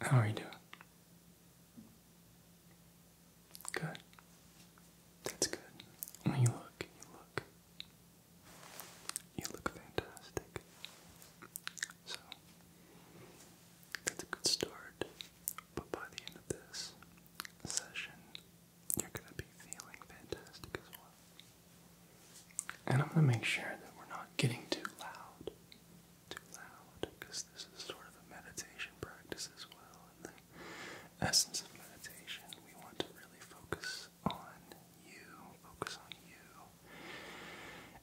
How are you doing? Good. That's good. When you look, you look. You look fantastic. So, that's a good start. But by the end of this session, you're going to be feeling fantastic as well. And I'm going to make sure that we're not getting too loud too loud because this is sort of a meditation practice as well. And the essence of meditation, we want to really focus on you, focus on you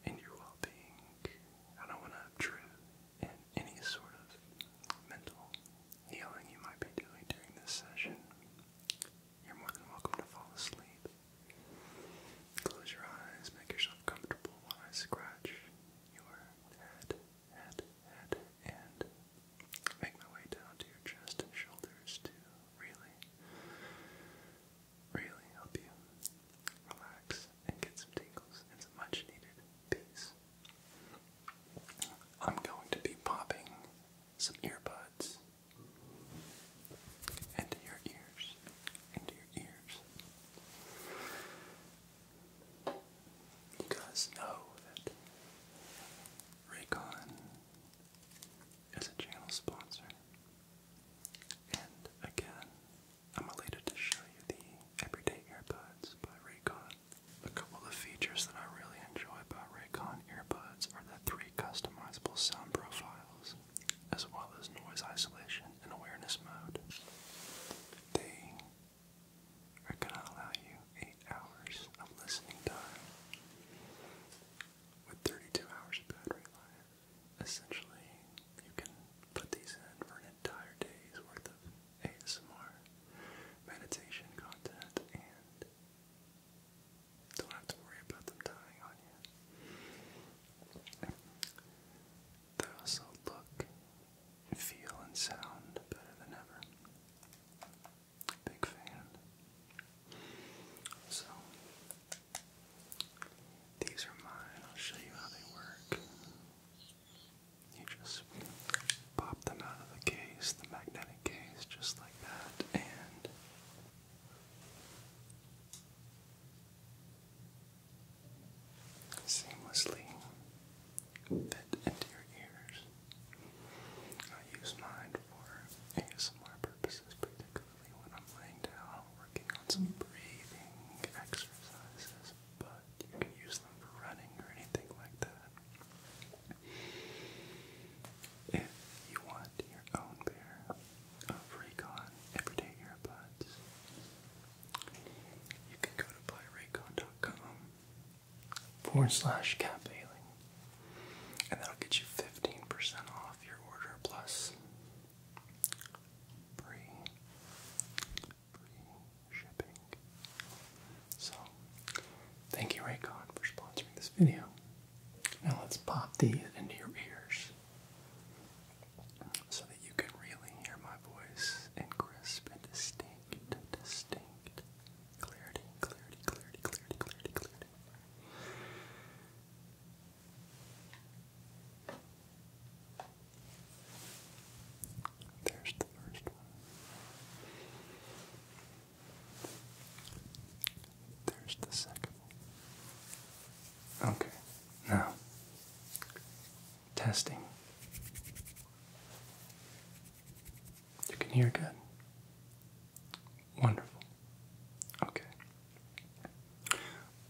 and your well being. I don't want to obtrude in any sort of mental healing you might be doing during this session. You're more than welcome to fall asleep. Close your eyes, make yourself comfortable while I scratch your head, head, head, and make my way down to your chest and shoulders to really, really help you relax and get some tingles and some much needed peace. I'm going to be popping some earbuds into your ears into your ears. You guys know that Raycon is a channel sponsor. And again, I'm elated to show you the Everyday Earbuds by Raycon. A couple of the features that I really enjoy about Raycon earbuds are the three customizable sound profiles as well as noise isolation and awareness mode. They are going to allow you 8 hours of listening time with 32 hours of battery life. Essentially, you can put these in for an entire day's worth of ASMR meditation content and not have to worry about them dying on you. They also look, feel, and sound better than ever. Big fan. So, these are mine. I'll show you how they work. You just pop them out of the case, the magnetic case, just like that, and seamlessly fit into your ears. I use mine for ASMR purposes, particularly when I'm laying down working on some breathing exercises, but you can use them for running or anything like that. If you want your own pair of Recon Everyday Earbuds, you can go to buyraycon.com forward slash cap and that'll get you 15% off your order plus free, free shipping. So, thank you Raycon for sponsoring this video. Now let's pop these into your ears so that you can really hear my voice in crisp and distinct, distinct clarity, clarity, clarity, clarity, clarity, clarity. There's the first one. There's the second Okay, now, testing. You can hear good. Wonderful. Okay.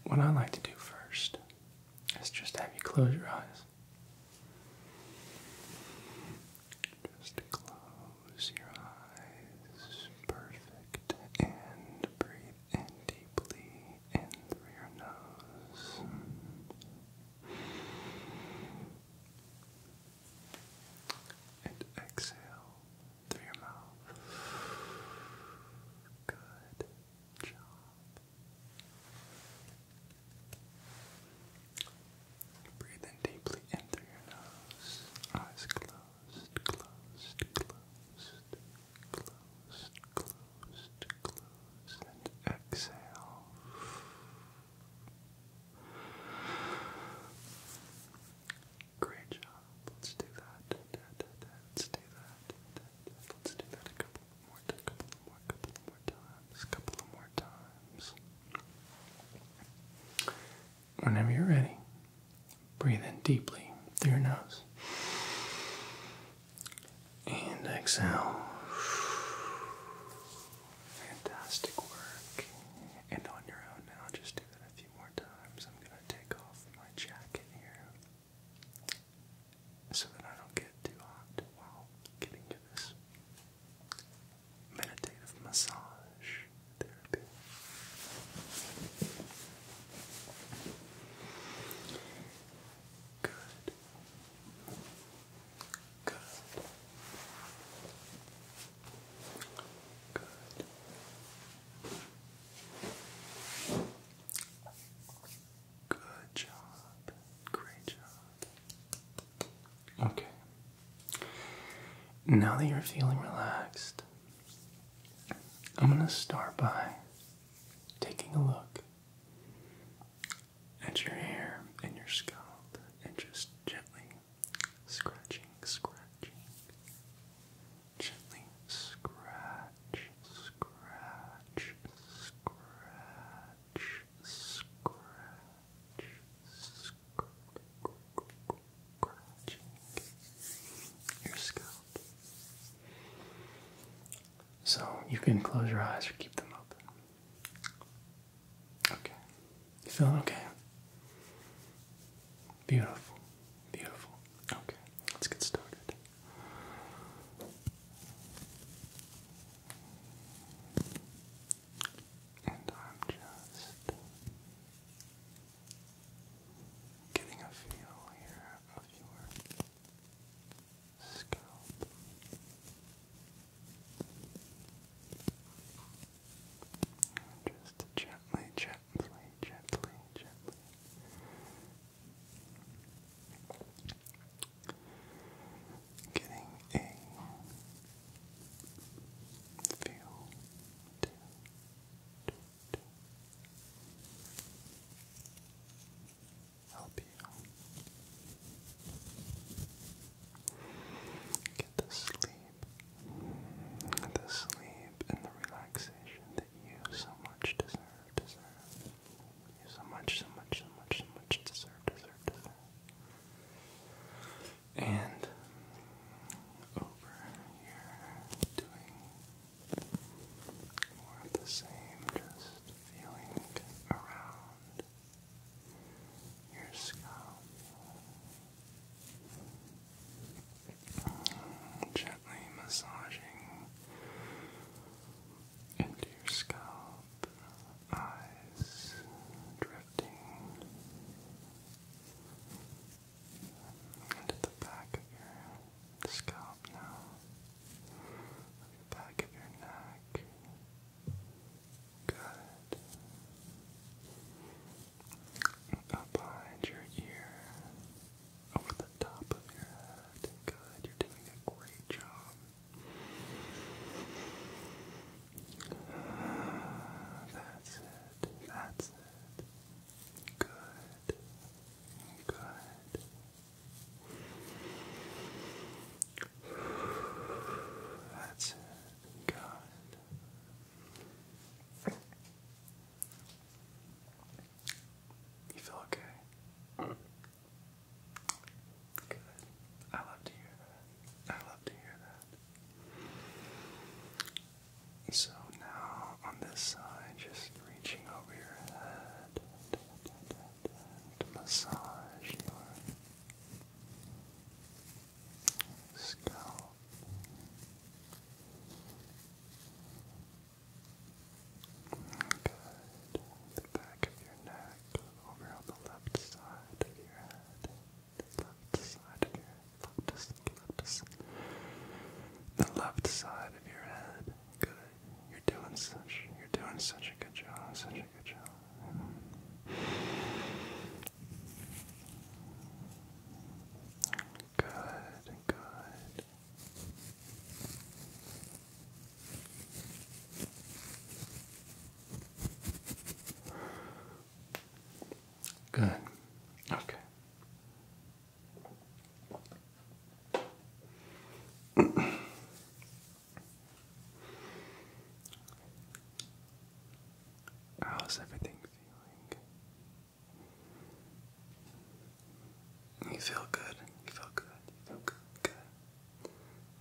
What I like to do first is just have you close your eyes. Just close your eyes. Perfect. And breathe in deeply in through your nose. And exhale through your mouth. Good job. Breathe in deeply in through your nose. Eyes closed, closed, closed, closed, closed closed, and exhale. Great job. Let's do that. Let's do that. Let's do that a couple more, times, a couple more times. Whenever you're ready, breathe in deeply through your nose. And exhale. Fantastic work. And on your own now, just do that a few more times. I'm going to take off my jacket here so that I don't get too hot while getting to this meditative massage therapy. Good. Good. Good. Good job. Great job. Okay. Now that you're feeling relaxed, I'm going to start by taking a look at your hair and your scalp and just gently scratching, scratching, gently scratch, scratch, scratch, scratch, scratching your scalp. So you can close your eyes or keep them open. Okay. You feeling okay? Beautiful. Beautiful. Okay. Let's get started. And I'm just getting a feel here of your scalp. Just gently, gently, gently, gently. Getting a feel to, help you get the sleep, the sleep and the relaxation that you so much deserve, deserve. so much, so much, so much, so much deserve, deserve, deserve. And over here doing more of the same, just feeling around your scalp. Mm, gently massaging into your scalp, eyes drifting into the back of your scalp top the back of your neck. Good. Up behind your ear, over the top of your head. Good, you're doing a great job. That's it, that's it. Good, good, that's it. Good. You feel okay? Good. I love to hear that. I love to hear that. So now on this side, just reaching over your head to massage your scalp. Good. The back of your neck over on the left side of your head. The left side of your head. Left, left, the left side of your head. Good. You're doing such. You're doing such a good job. Such a good job. Good. Good. Good. Okay. How's everything feeling? You feel good. You feel good. You feel good. Good.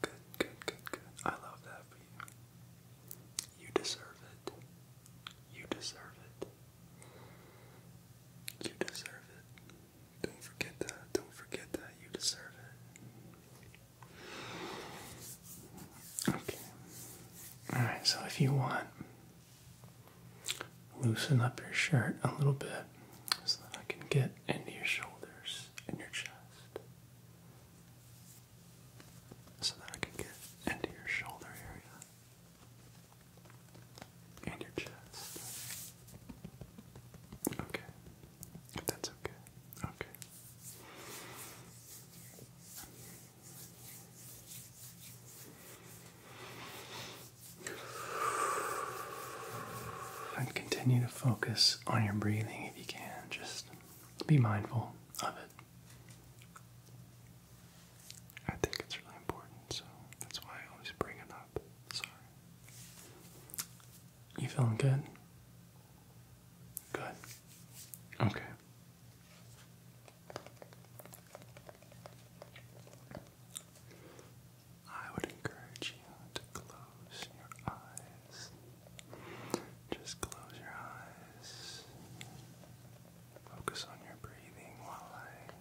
Good. Good. Good. I love that for you. You deserve it. You deserve it. You deserve it. Don't forget that. Don't forget that. You deserve it. Okay. Alright, so if you want, loosen up your shirt a little bit so that I can get into your shoulders and your chest. So that I can get into your shoulder area and your chest. Okay. If that's okay. Okay. And continue to focus on your breathing if you can. Just be mindful of it. I think it's really important, so that's why I always bring it up. Sorry. You feeling good? Good. Okay. I would encourage you to close your eyes. Just close your eyes. Focus on your breathing while I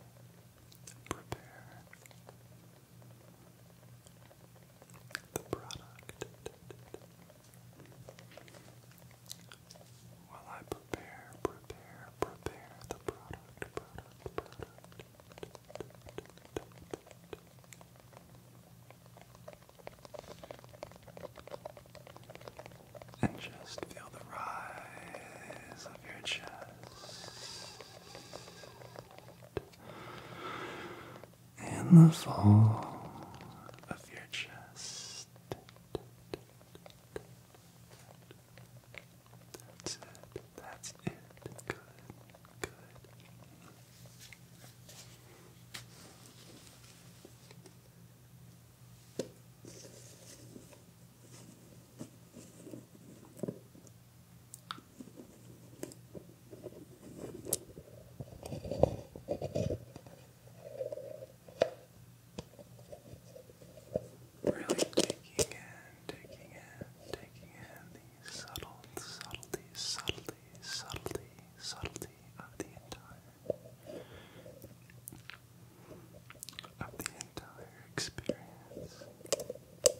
prepare the product while I prepare, prepare, prepare the product, product, product. And just feel the rise of your chest in the fall of your chest. That's it. That's it. Good. Good. Really taking in, taking in, taking in the subtle subtlety, subtlety, subtlety, subtlety of the entire of the entire experience.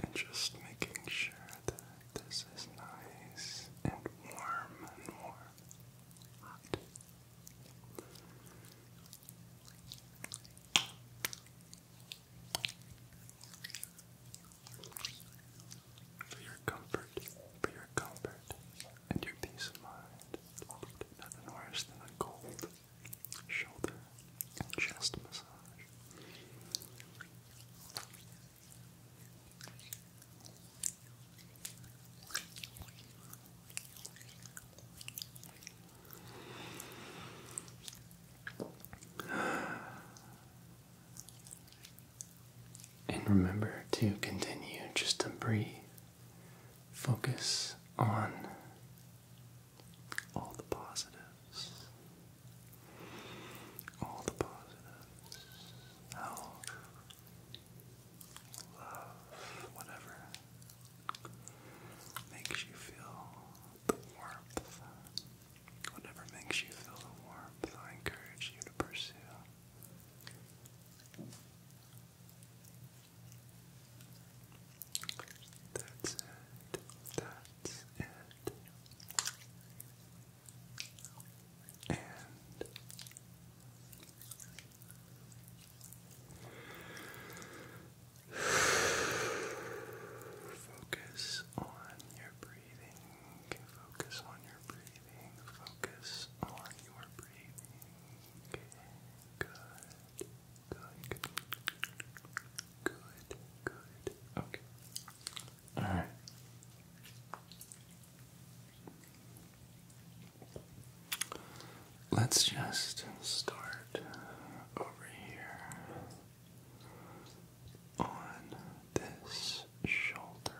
And just making sure that this is nice and warm and warm. Hot. For your comfort, for your comfort, and your peace of mind. Nothing worse than a cold shoulder and chest massage. And remember to continue just to breathe. Focus on all the positives. All the positives. How love, whatever makes you feel the warmth. Whatever makes you feel the warmth, I encourage you to pursue. That's it. That's it and focus on your breathing, focus on your breathing, focus on your breathing. Good, good, good, good. Okay. All right. Let's just start over here on this shoulder.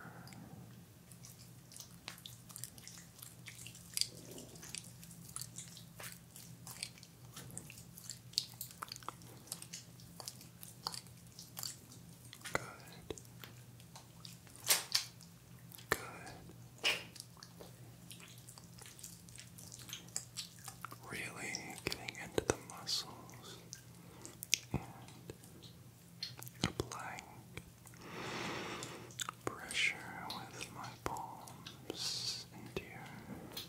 Good. Good. Really getting into the muscles and applying pressure with my palms into your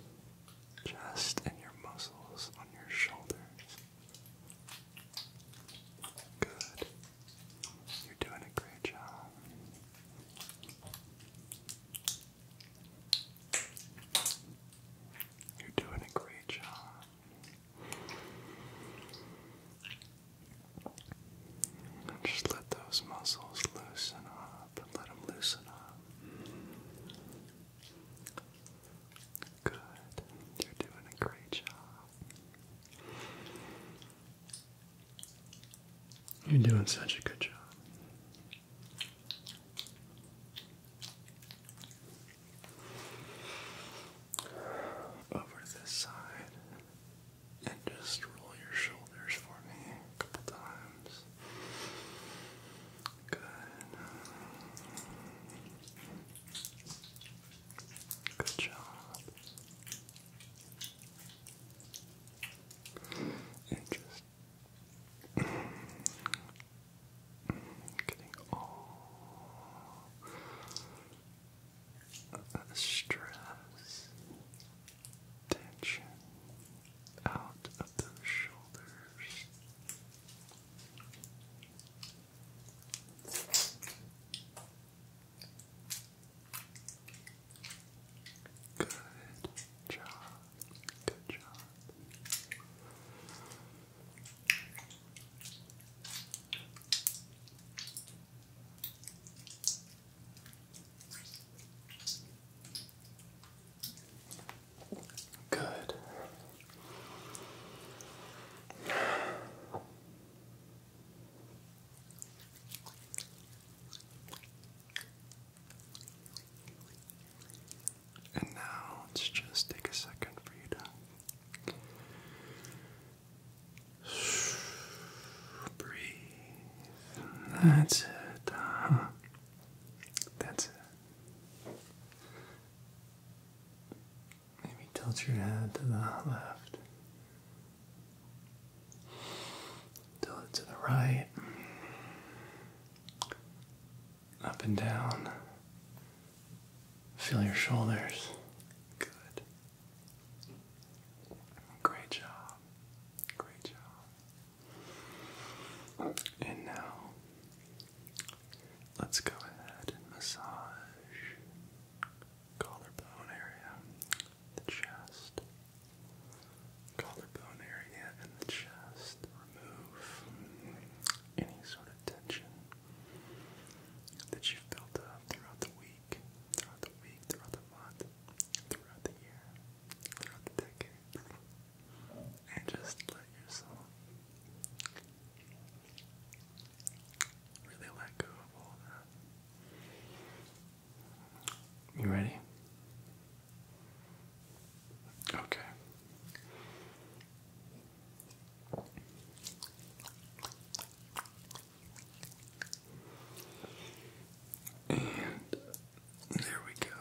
chest and your muscles on your shoulders. Good. You're doing a great job. You're doing a great job. Just let those muscles loosen up let them loosen up. Good. You're doing a great job. You're doing such a good job. Over this side, and just roll your shoulders for me a couple times. Good. Good job. And just getting all the stress, tension out of those shoulders. Good job. Good job. Good. And now let's just take a second for you to breathe. That's it. Uh-huh. that's it. Maybe tilt your head to the left. Tilt it to the right. Up and down. Feel your shoulders. Good. Great job. Great job. And Let's go ahead and massage collarbone area, the chest. Collarbone area and the chest. Remove any sort of tension that you've built up throughout the week, throughout the week, throughout the month, throughout the year, throughout the decades. And just let yourself really let go of all that. You ready? Okay. And there we go.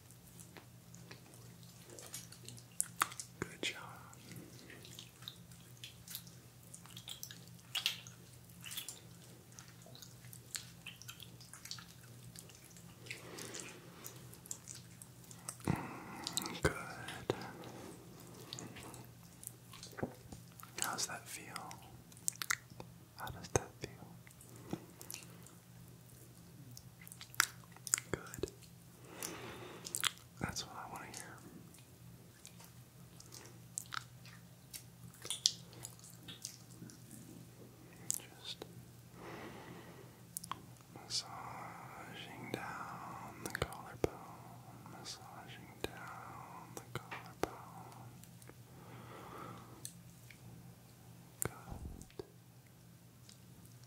Good job. Good. How's that feel? How does that feel? Good. That's what I want to hear. Just massaging down the collarbone, massaging down the collarbone. Good.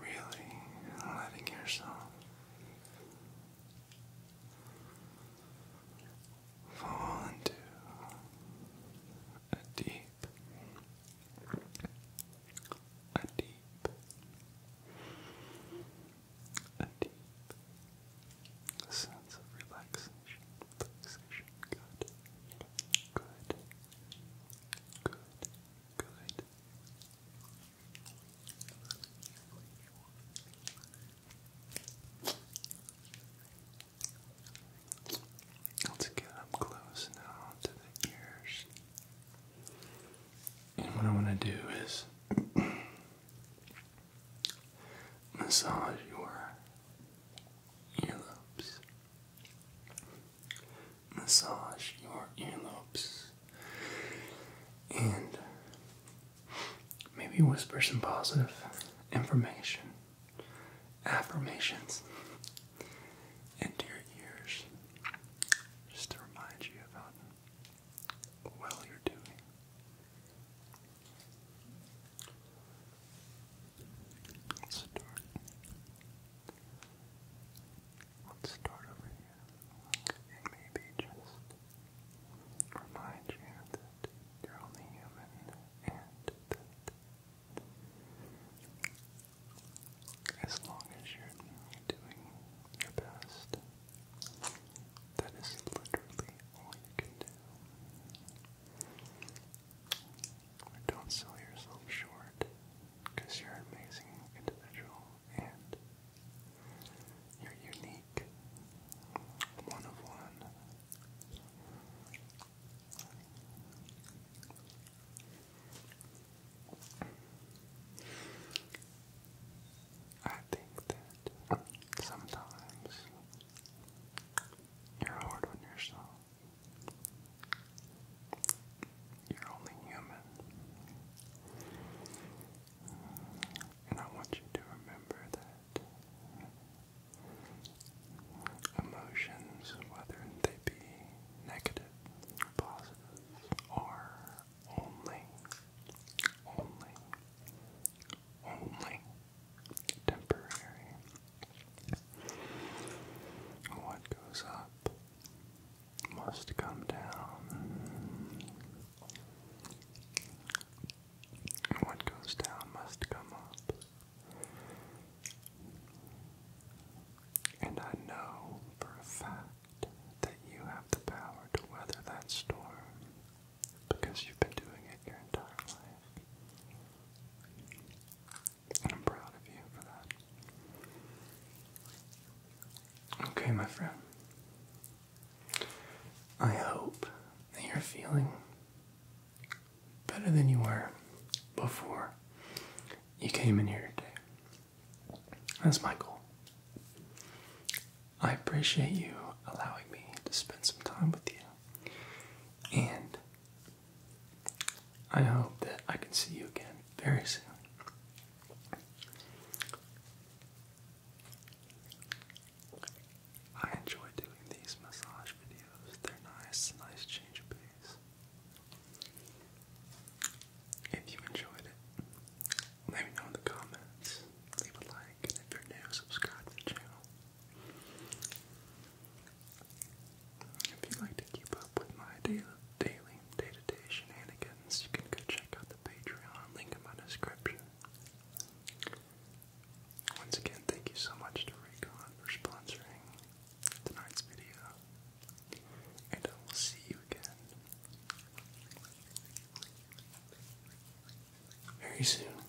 Really letting yourself fall into a deep, a deep, a deep sense of relaxation relaxation, good, good, good, good. Let's get up close now to the ears. And what I want to do is massage your earlobes. Massage your earlobes. And maybe whisper some positive information, affirmations into your ears just to remind you about how well you're doing. Let's start. Let's start over here. maybe just remind you that you're only human and that as long as you're doing your best, that is literally all you can do. Don't sell yourself short because you're an amazing individual and you're unique, one of one. I think that sometimes you're hard on yourself. You're only human. And I want you to remember that emotions, whether they be negative or positive, are only, only only temporary. What goes up must come down. What goes down must come up. And I know for a fact that you have the power to weather that storm because you've been doing it your entire life. I'm proud of you for that. Okay, my friend. I hope that you're feeling better than you were before you came in here today. That's my goal. I appreciate you allowing me to spend some time with you. And I hope that I can see you again very soon. I enjoy doing these massage videos, they're nice, nice change of pace. If you enjoyed it, let me know in the comments, leave a like, and if you're new, subscribe to the channel. If you'd like to keep up with my daily day-to-day shenanigans, you can go check out the Patreon link in my description. Once again, thank you so much to Raycon for sponsoring tonight's video, and I will see you again very soon.